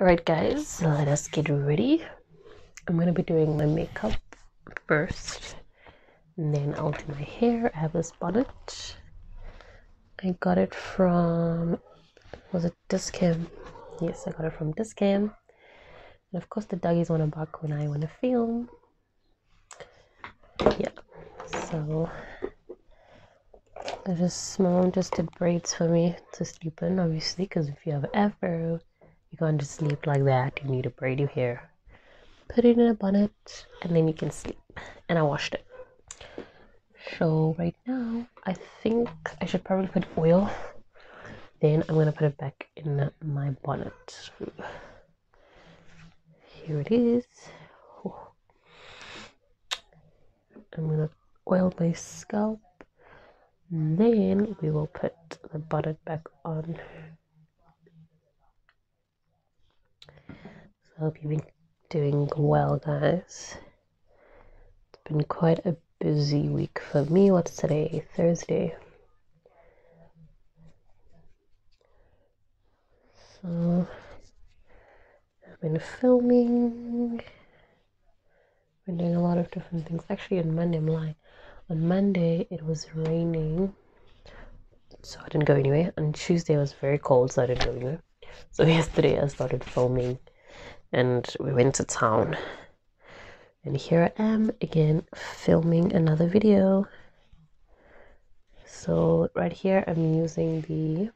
Alright guys, let us get ready. I'm going to be doing my makeup first. And then I'll do my hair. I have this bonnet. I got it from, was it Discam? Yes, I got it from Discam. And of course the Duggies want to bark when I want to film. Yeah, so just mom just did braids for me to sleep in, obviously, because if you have afro, you are going to sleep like that. You need a braid your hair, put it in a bonnet, and then you can sleep. And I washed it. So right now, I think I should probably put oil. Then I'm gonna put it back in my bonnet. Here it is. I'm going to oil my scalp and then we will put the bonnet back on so I hope you've been doing well guys it's been quite a busy week for me what's today Thursday so I've been filming, been doing a lot of different things. Actually, on Monday, I'm lying. On Monday, it was raining, so I didn't go anywhere. On Tuesday, it was very cold, so I didn't go anywhere. So, yesterday, I started filming and we went to town. And here I am again filming another video. So right here I'm using the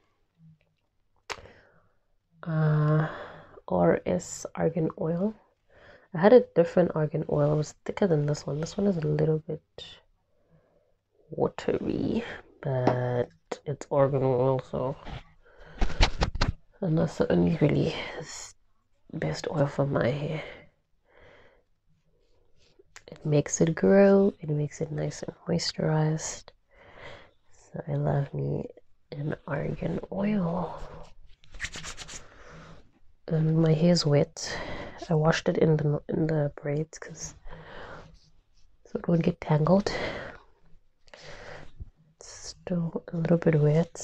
uh, RS argan oil. I had a different argan oil. It was thicker than this one. This one is a little bit watery, but it's argan oil, so and that's the only really best oil for my hair. It makes it grow. It makes it nice and moisturized. So I love me an argan oil. Um, my hair's wet. I washed it in the in the braids because so it won't get tangled. It's still a little bit wet.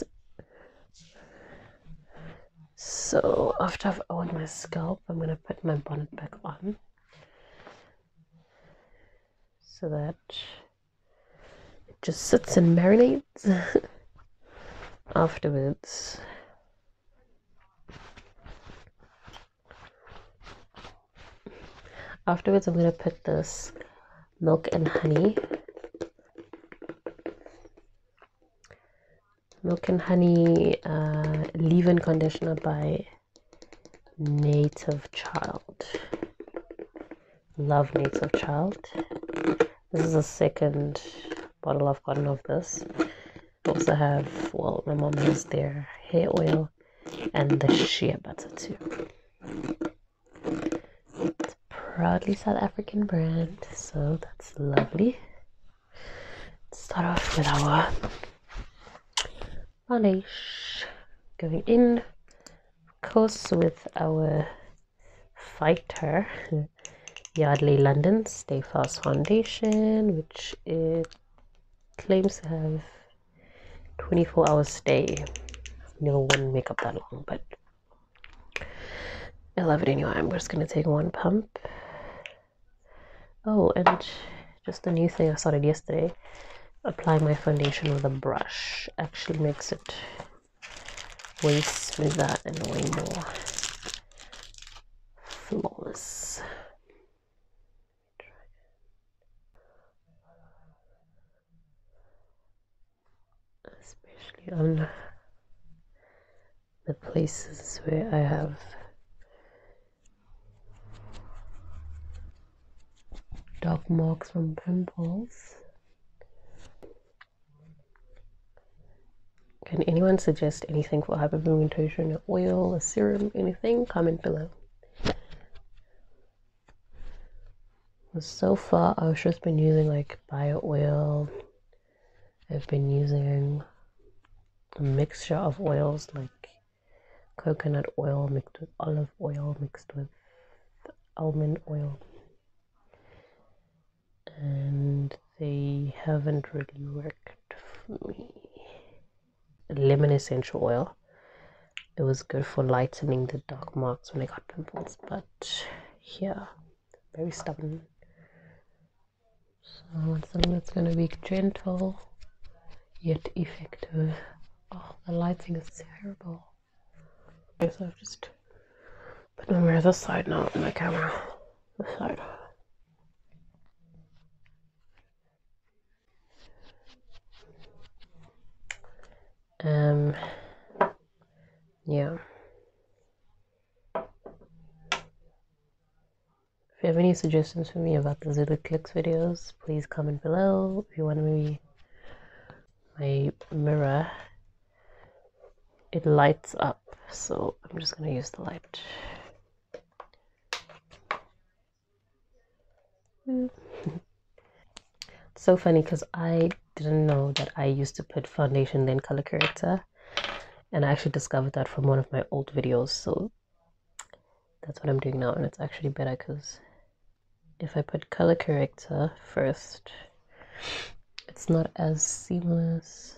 So after I've oiled my scalp, I'm gonna put my bonnet back on so that it just sits and marinates afterwards. Afterwards, I'm going to put this milk and honey. Milk and honey uh, leave-in conditioner by native child love native child this is the second bottle i've gotten of this also have well my mom has their hair oil and the shea butter too it's proudly south african brand so that's lovely start off with our varnish going in of course with our fighter Yardley London Stay Fast Foundation which it claims to have 24 hours stay I've never worn makeup that long but I love it anyway I'm just gonna take one pump oh and just a new thing I started yesterday Apply my foundation with a brush actually makes it way smoother and way more flawless especially on the places where I have Dark marks from pimples. Can anyone suggest anything for hyperpigmentation? An oil, a serum, anything? Comment below. So far, I've just been using like bio oil. I've been using a mixture of oils like coconut oil mixed with olive oil mixed with almond oil and they haven't really worked for me lemon essential oil it was good for lightening the dark marks when i got pimples but yeah very stubborn so i want something that's going to be gentle yet effective Oh, the lighting is terrible. Okay, so I've just put my mirror this side now on my camera. This side. Um, yeah. If you have any suggestions for me about the Zulu Clicks videos, please comment below. If you want me my mirror it lights up so I'm just gonna use the light so funny because I didn't know that I used to put foundation then color corrector and I actually discovered that from one of my old videos so that's what I'm doing now and it's actually better because if I put color corrector first, it's not as seamless.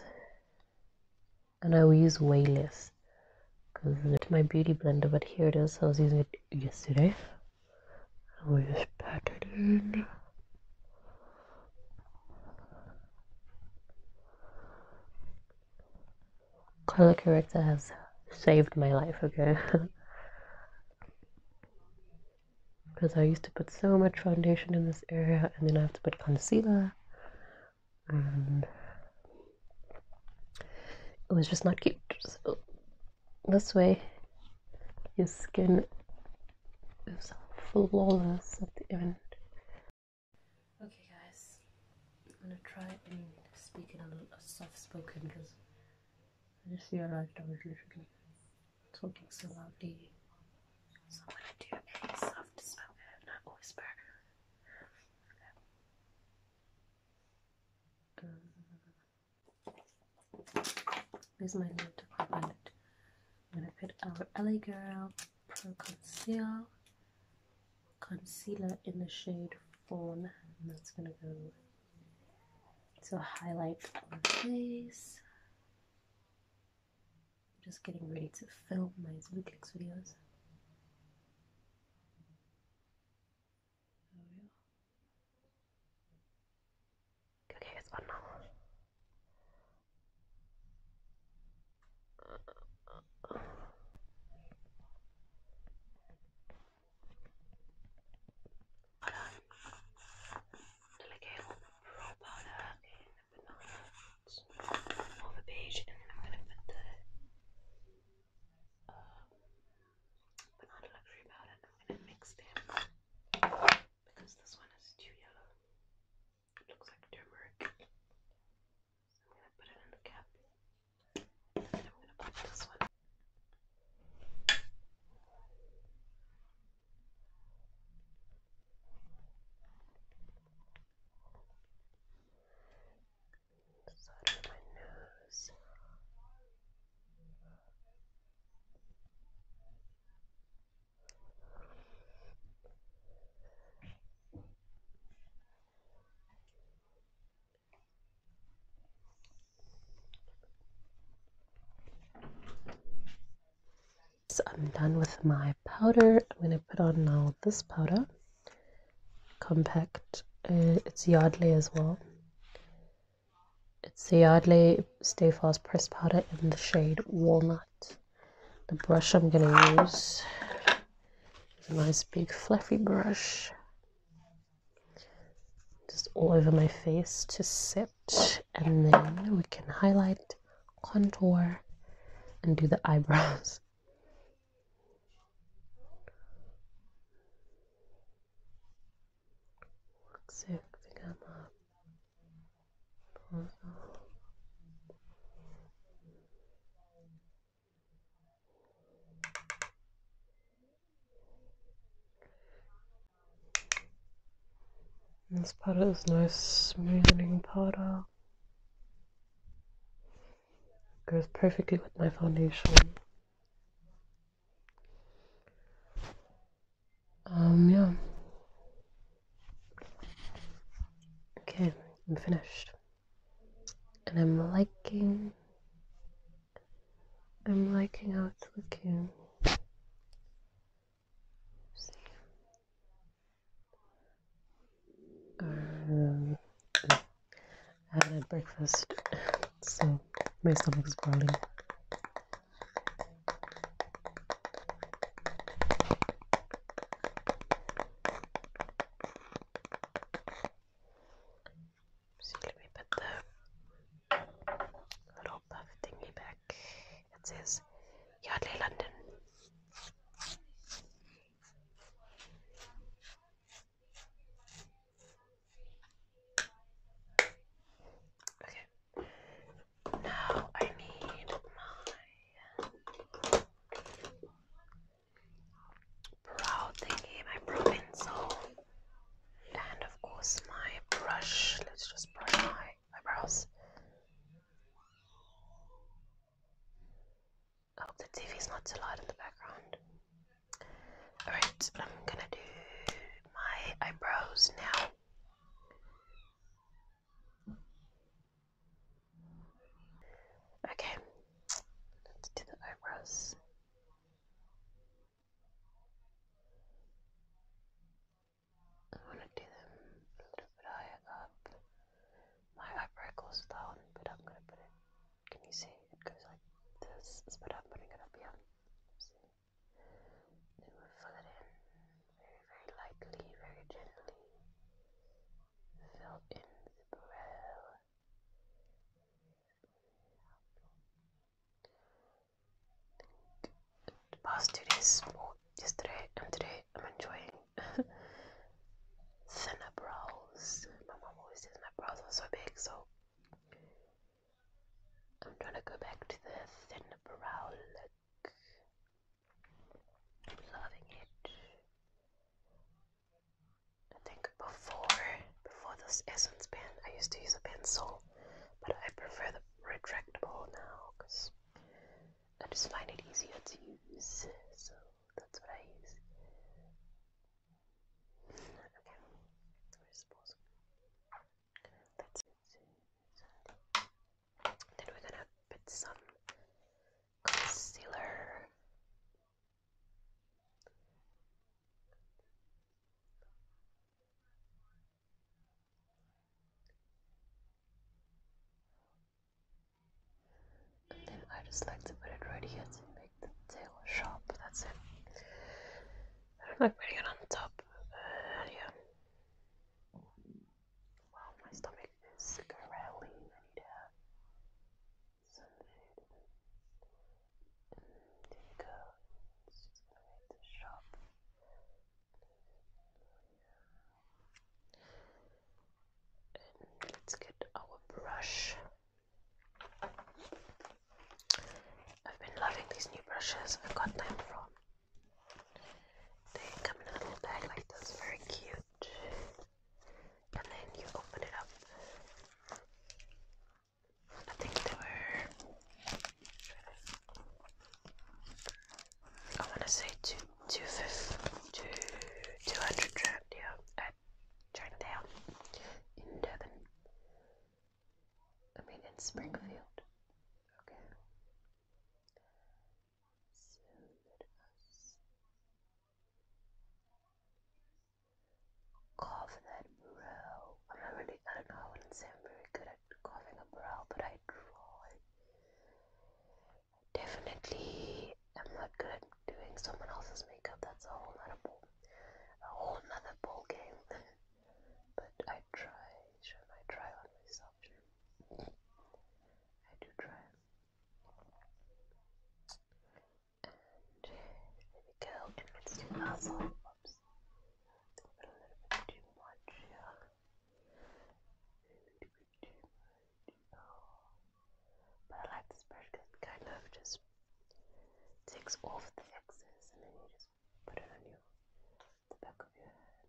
And I will use way less because it's my beauty blender, but here it is. I was using it yesterday. I will just pat it in color corrector has saved my life, okay? because I used to put so much foundation in this area and then I have to put concealer and it was just not cute. So this way your skin is flawless at the end. Okay guys, I'm gonna try and speak in a, a soft spoken because I just realized I was literally talking so loudly. So gonna do a soft spoken, not whisper. Um, here's my little palette. I'm gonna put our LA Girl Pro Conceal concealer in the shade four, and that's gonna go so highlight my face. I'm just getting ready to film my Zooglex videos. Okay, it's on now delicate on the brown powder in the banana or the beige, and I'm going to put the banana luxury powder. I'm going to mix them because this one is too yellow. It looks like turmeric. So I'm going to put it in the cap. And I'm going to put this one. So under my nose. So I'm done with my powder. I'm going to put on now this powder, compact. Uh, it's Yardley as well. It's the Yardley Stay Fast Press Powder in the shade Walnut. The brush I'm going to use is a nice big fluffy brush just all over my face to set and then we can highlight contour and do the eyebrows This powder is nice smoothing powder. Goes perfectly with my foundation. Um, yeah. Okay, I'm finished. And I'm liking I'm liking how it's looking. Um, I haven't had breakfast, so my stomach is growling. So let me put the little puff thingy back. It says Yardley London. Okay. Now I need my brow thingy, and of course my brush. Let's just brush my eyebrows. I oh, the TV is not too loud in the background. Alright, I'm gonna do my eyebrows now. Okay, let's do the eyebrows. I want to do them a little bit higher up. My eyebrow goes down, but I'm going to put it, can you see? It goes like this, but I'm putting it up here. fill it in very, very lightly, very gently. Fill in the brow past two days, well, yesterday and today, I'm enjoying thinner brows. My mom always says my brows are so big, so I'm trying to go back to the thin brow look. loving it. I think before before this essence pen, I used to use a pencil, but I prefer the retractable now because I just find it easier to use. So that's what I use. Okay, where's pause? That's it. Then we're gonna put some concealer. And then I just like to put it right here to make the tail sharp, that's it. I'm like putting it on top, uh, yeah. Wow, my stomach is growling, I some food and do you go and to shop let's get our brush I've been loving these new brushes I got them from they come in a little bag like this, very cute and then you open it up nothing to her. I want to say two, two fifth, two, two hundred trip here at Chinatown in Devon. I mean in Springfield. Okay cough that brow. I'm not really, I don't know, I wouldn't say I'm very good at coughing a brow, but I try. Definitely, I'm not good at doing someone else's makeup. That's a whole nother ball, a whole nother ball game. but I try. Sure, I try on myself. I do try. And there we go. And let Oops. a little bit too much here. too much. But I like this brush it kind of just takes off the excess and then you just put it on your the back of your hand.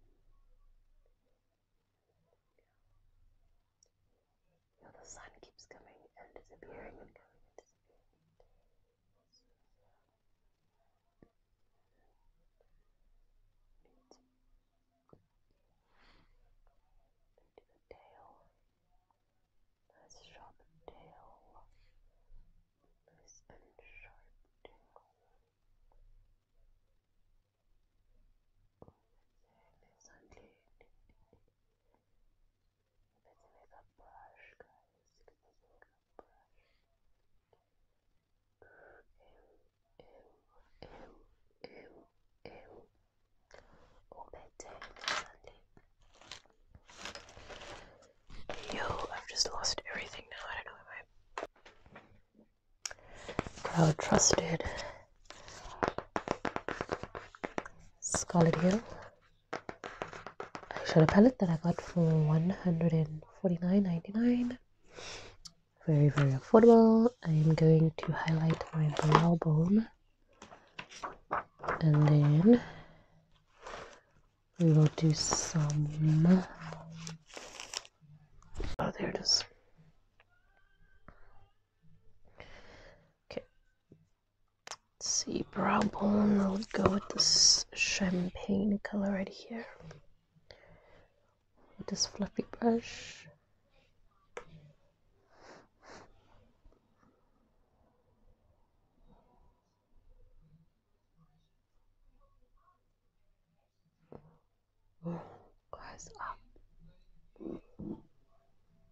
You know, the sun keeps coming and disappearing and coming and disappearing into the tail, nice sharp tail, nice and sharp Oh, it's, it's unclean let a brush, guys. let a brush. Oh, I've just lost everything now. I don't know where my crowd trusted. Scarlet Hill eyeshadow palette that I got for 149.99. Very, very affordable. I am going to highlight my brow bone and then we will do some. Oh, there it is. Okay, see, brow bone, we'll go with this champagne color right here. With this fluffy brush. Close up.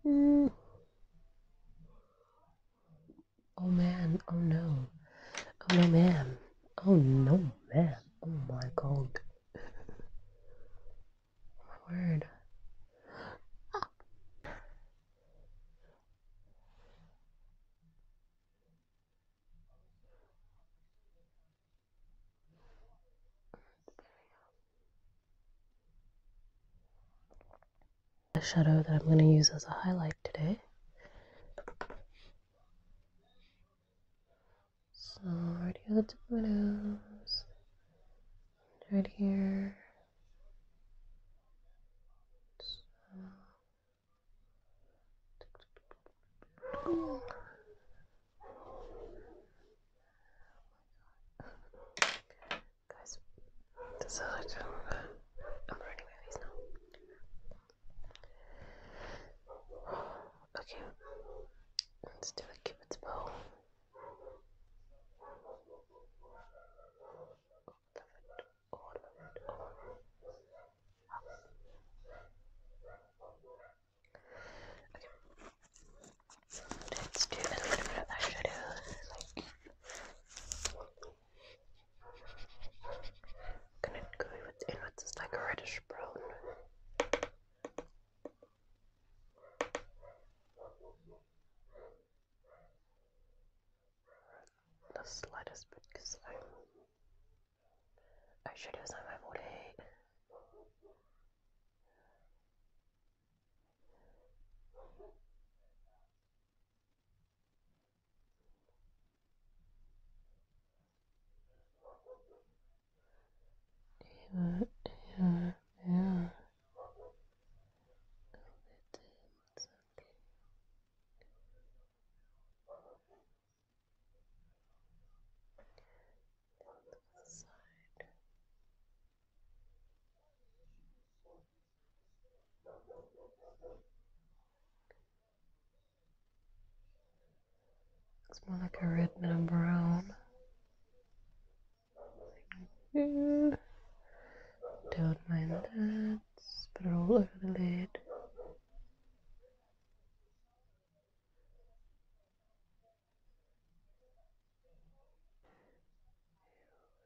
Mm. Oh man, oh no. Oh no, man! Oh no, man! Oh my god. my word a shadow that I'm going to use as a highlight today. So right here the tip of my right here. Guys, this is like um, I'm ruining my face now. Okay, let's do a cupid's bow. Oh, love it. Oh, love it. Oh. Okay. Let's do a little bit of eyeshadow. Like, Connect gooey what's inwards is like reddish brown. The slightest bit because I should use on my body. Here, here, here. Go it it's okay. Down to the side. It's more like a red than a brown. Don't mind that. Just put it all over the lid.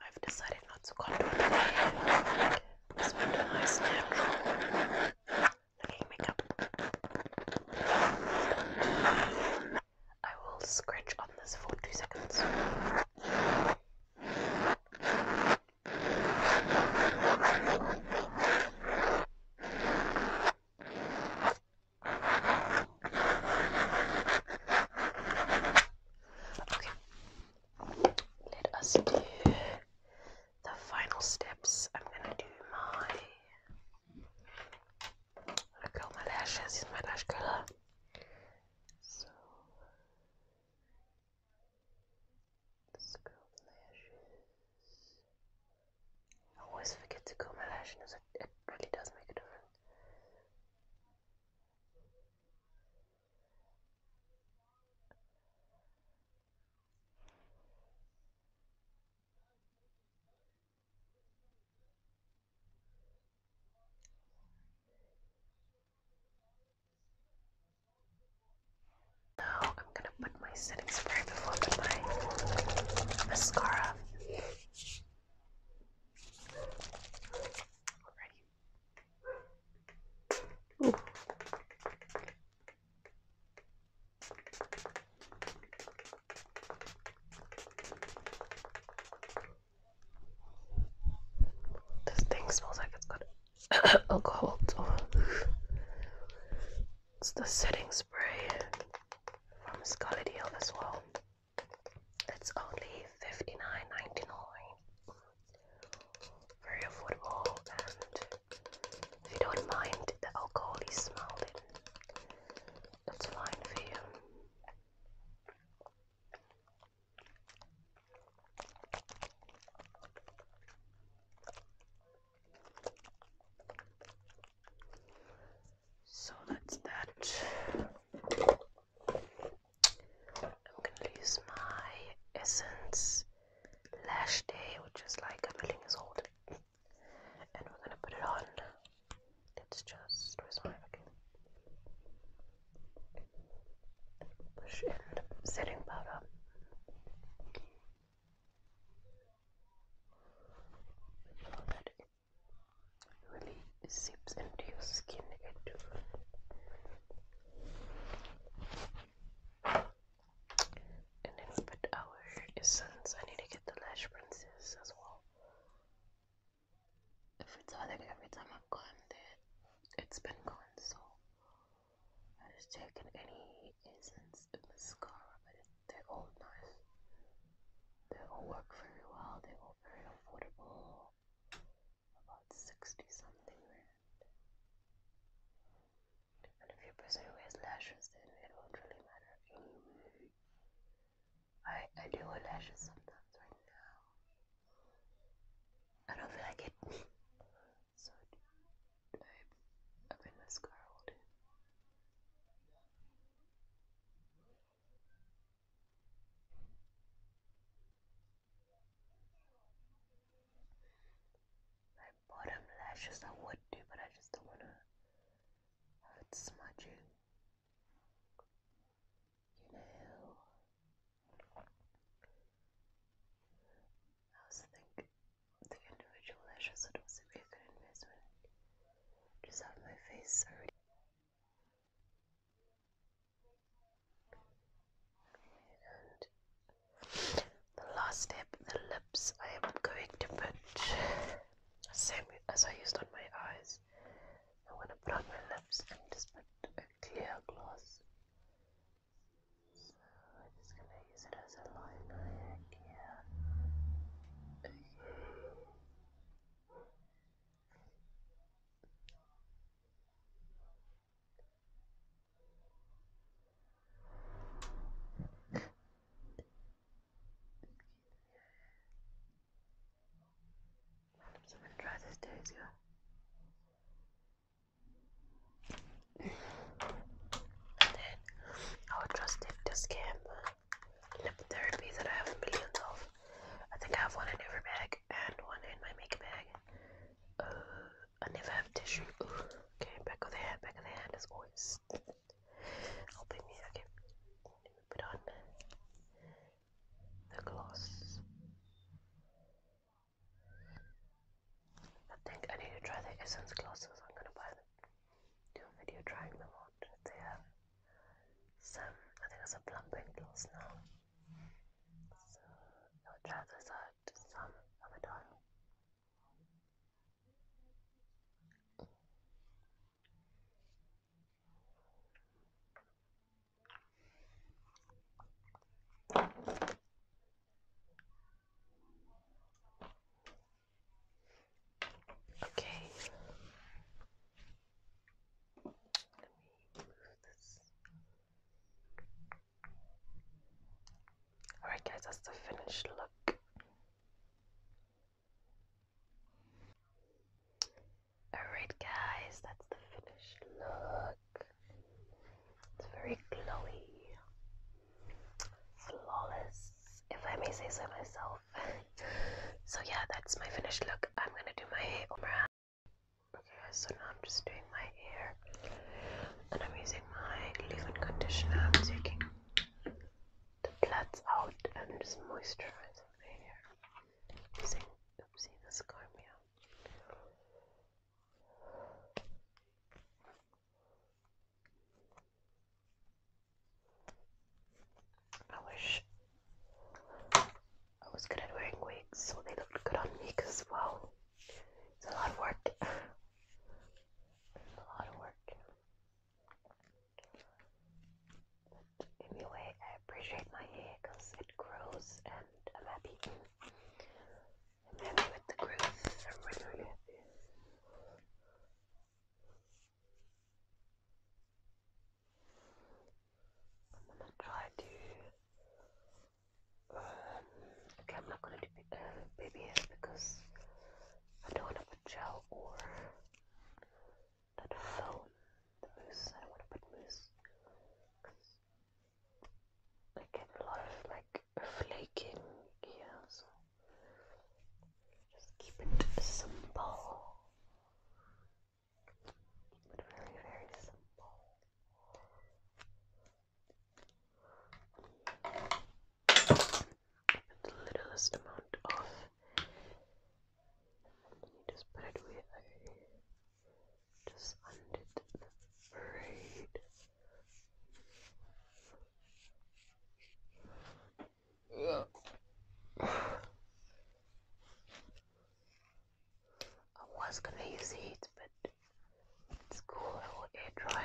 I've decided not to contour the Just want a nice natural looking makeup. I will scratch on this for two seconds. Okay, let us do the final steps. I'm gonna do my I curl my lashes, use my lash curler. So Scrub lashes. I always forget to comb my lashes. It really does make a difference. Now I'm gonna put my setting spray before I put my mascara. Alrighty. This thing smells like it's good. alcohol It's the setting spray from Scarlet Hill as well. It's only fifty nine ninety nine. Very affordable and if you don't mind the alcohol you smell that's fine for you. So that's that. I'm gonna use my Essence Lash Day, which is like everything is old. And we're gonna put it on. Let's just, where's my, okay. Push the setting powder so that it really seeps into your skin it and then we put our essence I need to get the lash princess as well if it's all like every time I've gone there it's been gone so i has taken any essence of mascara, but it, they're all nice. They all work very well, they're all very affordable. About 60 something rand. And if you're a person who wears lashes, then it won't really matter. Mm-hmm. I, I do wear lashes sometimes right now. I don't feel like it. so I mean mascara will do. My bottom lashes I would do, but I just don't wanna have it smudging. You know, I was thinking the individual lashes would also be a good investment. Just have my face already. the last step, the lips, I am going to put the same as I used on my eyes. I'm going to put on my lips and just put a clear gloss so we're just gonna use it as a library egg here. Okay. I'm just gonna try this daisy then I would trust if this came lip that I have millions of. I think I have one in every bag and one in my makeup bag. Uh, I never have tissue. okay, back of the hand, back of the hand is always helping me. Okay, put on the gloss. I think I need to try the Essence glasses. I'm gonna buy them. Do a video trying them on. They have some, I think it's a plumping gloss now. So I'll try this out some other time. Okay. Let me move this. Alright, guys, that's the finished look. Alright, guys, that's the finished look. It's very glowy, flawless, if I may say so myself. so, yeah, that's my finished look. I'm gonna do my hair. Okay, so now I'm just doing my hair and I'm using my leave in conditioner. I'm taking the plaits out and just moisturizing my hair using, oopsie, this I wish I was good at wearing wigs so they looked good on me because, well, it's a lot of work. it's a lot of work. But anyway, I appreciate my hair because it grows and I'm happy. I'm with the growth. I'm really, really happy. I'm gonna try to. Um, okay, I'm not gonna do uh, baby hair because I don't want to put gel or that foam, the mousse. I want to put mousse like a lot of like flaking here, so just keep it simple. Keep it very, very simple. Put the littlest amount of, and you just put it away. Just undid the braid. I was gonna use heat, but it's cool, I will air dry.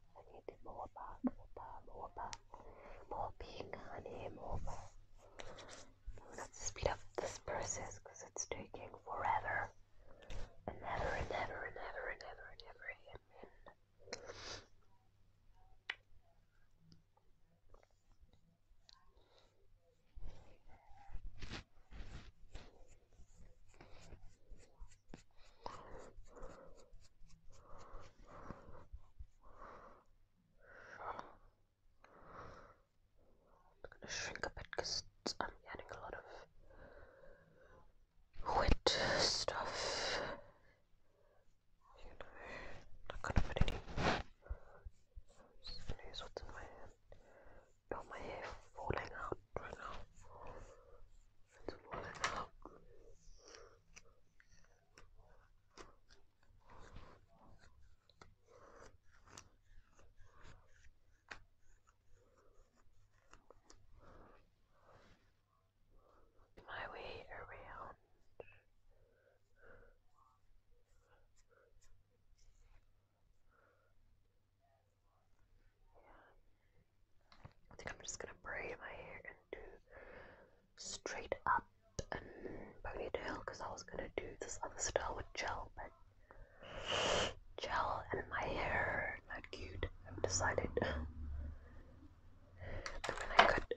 I need more bark, more bark, more bark, more pink honey, more bark. Let's speed up this process because it's taking forever. And never and never and never and never and never I'm gonna shrink a bit because I'm adding a lot of wet stuff. You know, gonna put any. I'm use what's in my hand. Not my hair falling out Let's pull it out. My way around. Yeah. I think I'm just gonna braid my hair and do straight up and ponytail because I was gonna do this other style with gel, but gel and my hair not cute. I've decided. I could,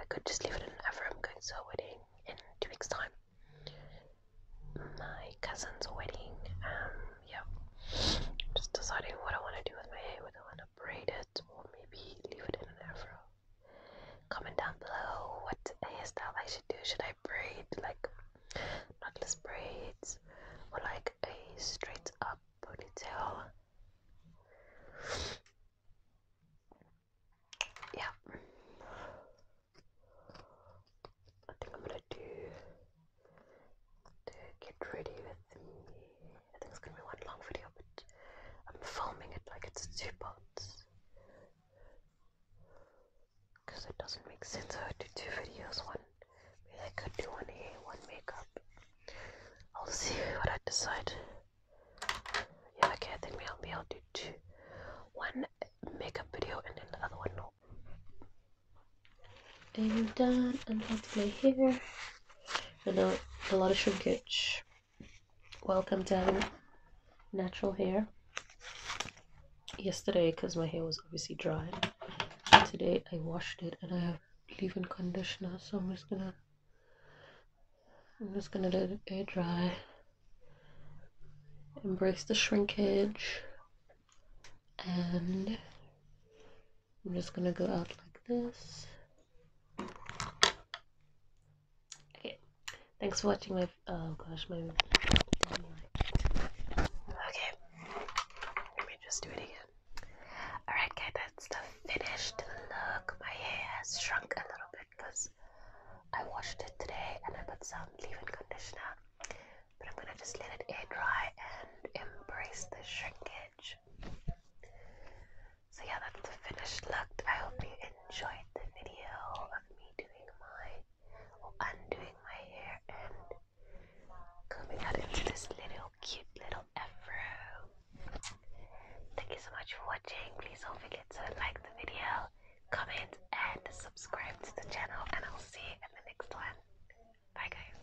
I could just leave it in ever. I'm going to a wedding in two weeks' time. My cousin's wedding. Um, yeah. just deciding what I want to do with my hair, braid it or maybe leave it in an afro. Comment down below what hairstyle I should do. Should I braid like knotless braids or like a straight up ponytail? Yeah. I think I'm gonna do to get ready with me. I think it's gonna be one long video, but I'm filming it like it's two parts because it doesn't make sense I would do two videos. One, maybe I could do one hair, one makeup. I'll see what I decide. Yeah, okay, I think maybe I'll do two, one makeup video and then the other one no. I'm done. I'm going to play here and a, a lot of shrinkage. Welcome to having natural hair. Yesterday, because my hair was obviously dry, today I washed it and I have leave-in conditioner, so I'm just gonna I'm just gonna let it air dry. Embrace the shrinkage and I'm just gonna go out like this. Okay, thanks for watching my, oh gosh, my, okay, let me just do it again. Alright guys, that's the finished look. My hair has shrunk a little bit because I washed it today and I put some leave-in conditioner. But I'm gonna just let it air dry and embrace the shrinkage. So yeah, that's the finished look. I hope you enjoyed the video of me doing my or undoing my hair and coming out into this little cute little afro. Thank you so much for watching. Please don't forget to like the video, comment, and subscribe to the channel. And I'll see you in the next one. Bye guys.